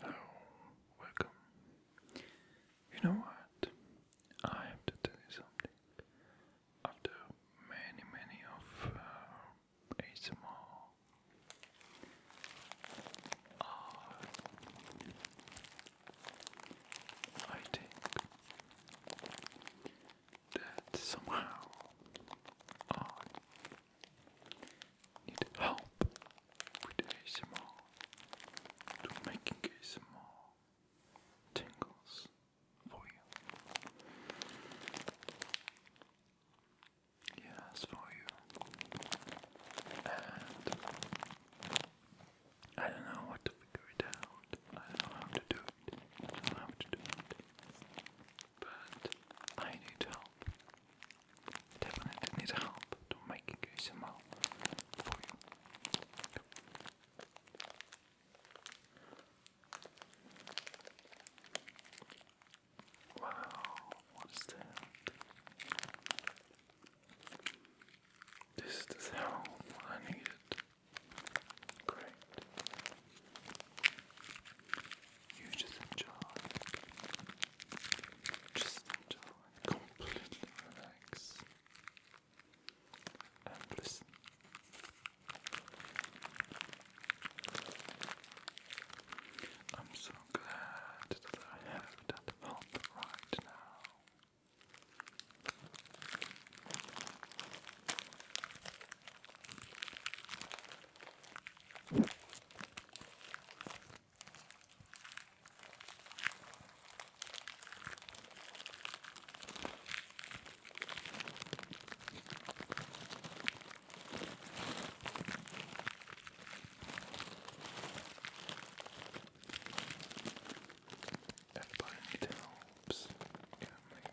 Hello, oh, welcome. You know what? I have to tell something. After many, many of uh, ASMR, uh, I think that somehow uh, need help with ASMR to making ASMR tingles for you. Yes, for you. And I don't know what to figure it out. I don't know to do it. I don't know to do it. But I need help definitely need a help to make ASMR for you. Wow, what is that? This is the sound I needed. Great. You just enjoy. Just enjoy. Completely relax. And listen. I'm so glad that I have that help right now. Everybody needs helps. Yeah, like,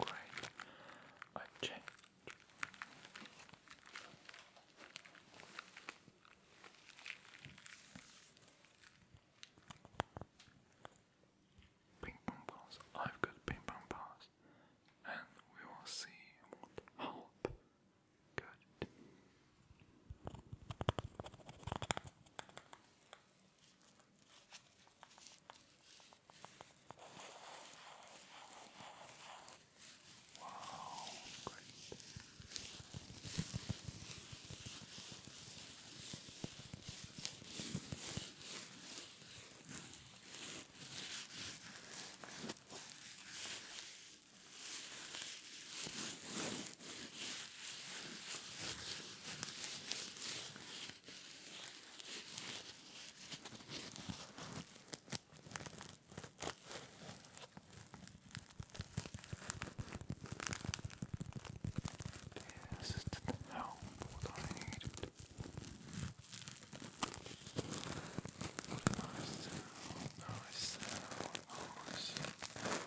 Wow, great. Okay, Ping pong balls. I've got ping pong balls, and we will see what help. Good. Wow, great. Wow. This is the help that I needed. Nice sound, nice sound, nice.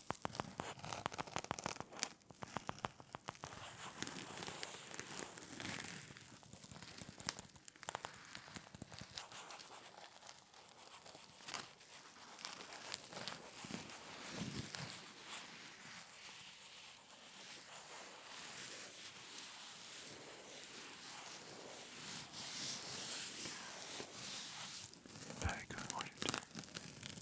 Very good, what you do.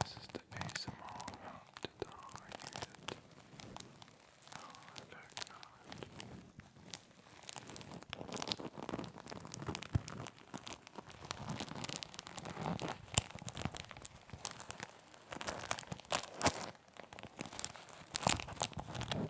This is the ASMR out to die. Oh, I don't know.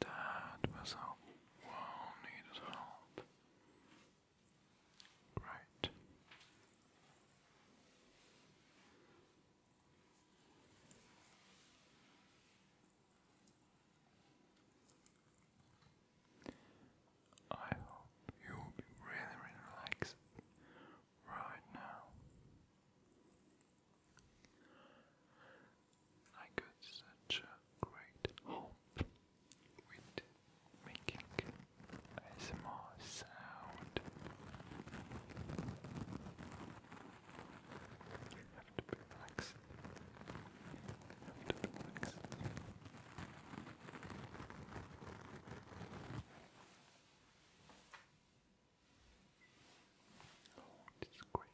That was how well needed help. Great. I hope you will be really, really relaxed right now. I got such a great hope with making a small sound. You have to be You have to be Oh, this is great.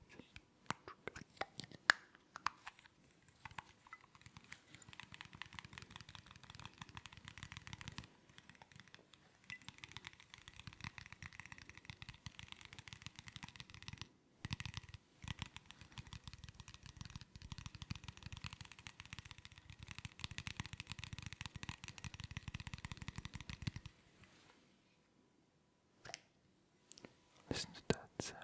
Listen to that sound.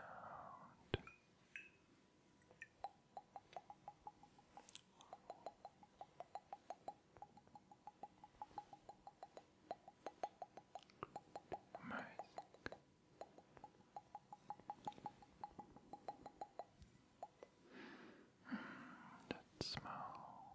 Amazing. Hmm, that smell.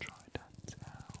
Try that out.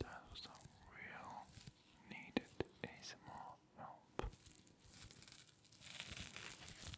That was a real needed ASMR help.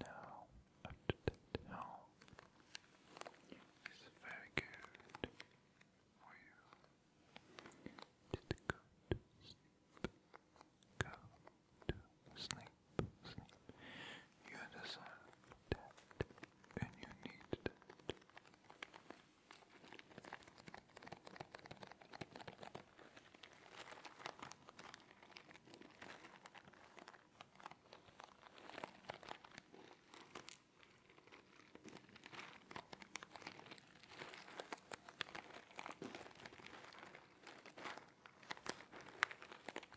Now, up to the town is very good for you. Just go to sleep. Go to sleep. You deserve that, and you need that.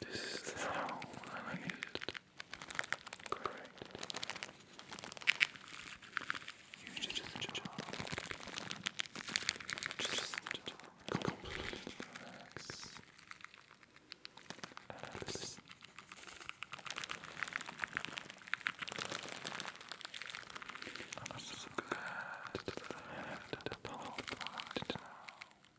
This is the sound I needed. Correct. You did the job. Just completely relax. And listen. I'm so glad that I have that all part now.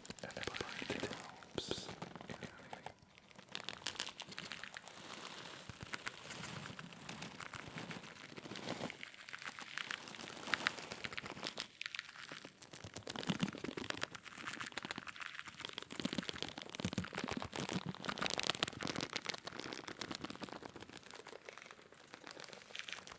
Everybody helps. You know what I mean?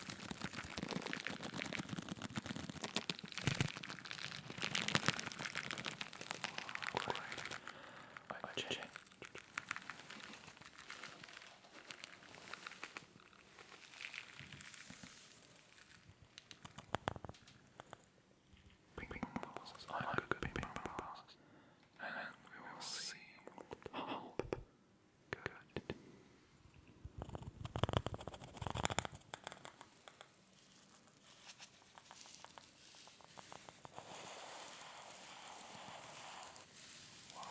Great. Ping ping passes. I like good ping ping passes. And we will see how Good. Wow,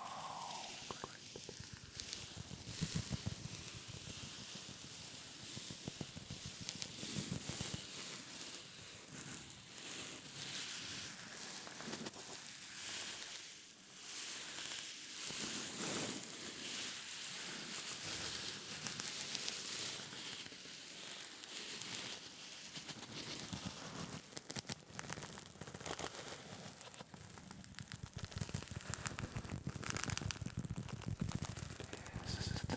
this is the downlight. This is the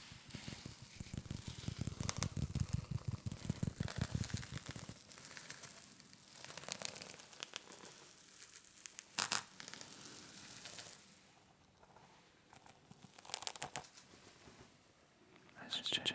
Has changed.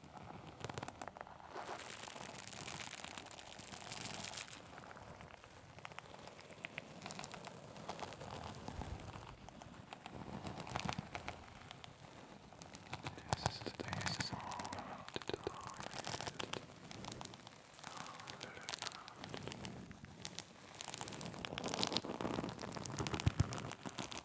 This is the day is all about the Hallelujah.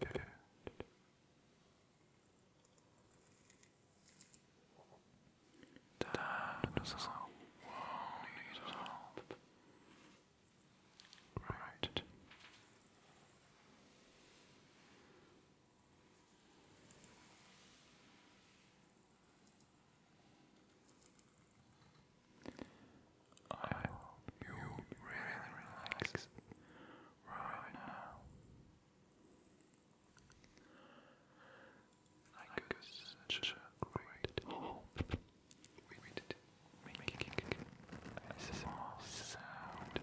Good. Dad was help. Right. I hope you really relax right now. I such a great hope with making a small sound.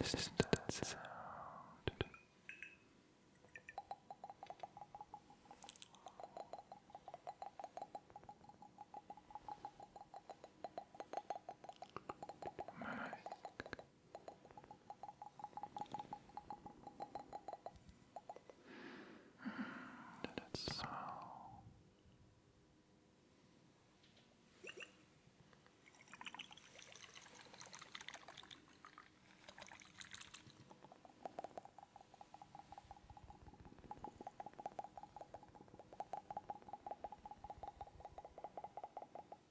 Listen to that sound. Nice. And that smell.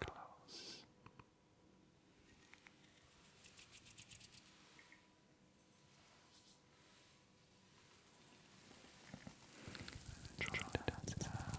Close. Try to dance it out. Close.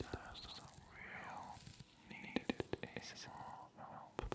There's some real needed ASMR help. ASMR help.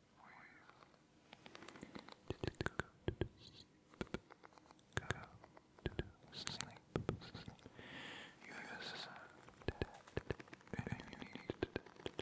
Did it go to sleep? Go to sleep. Yes, you need it. Good.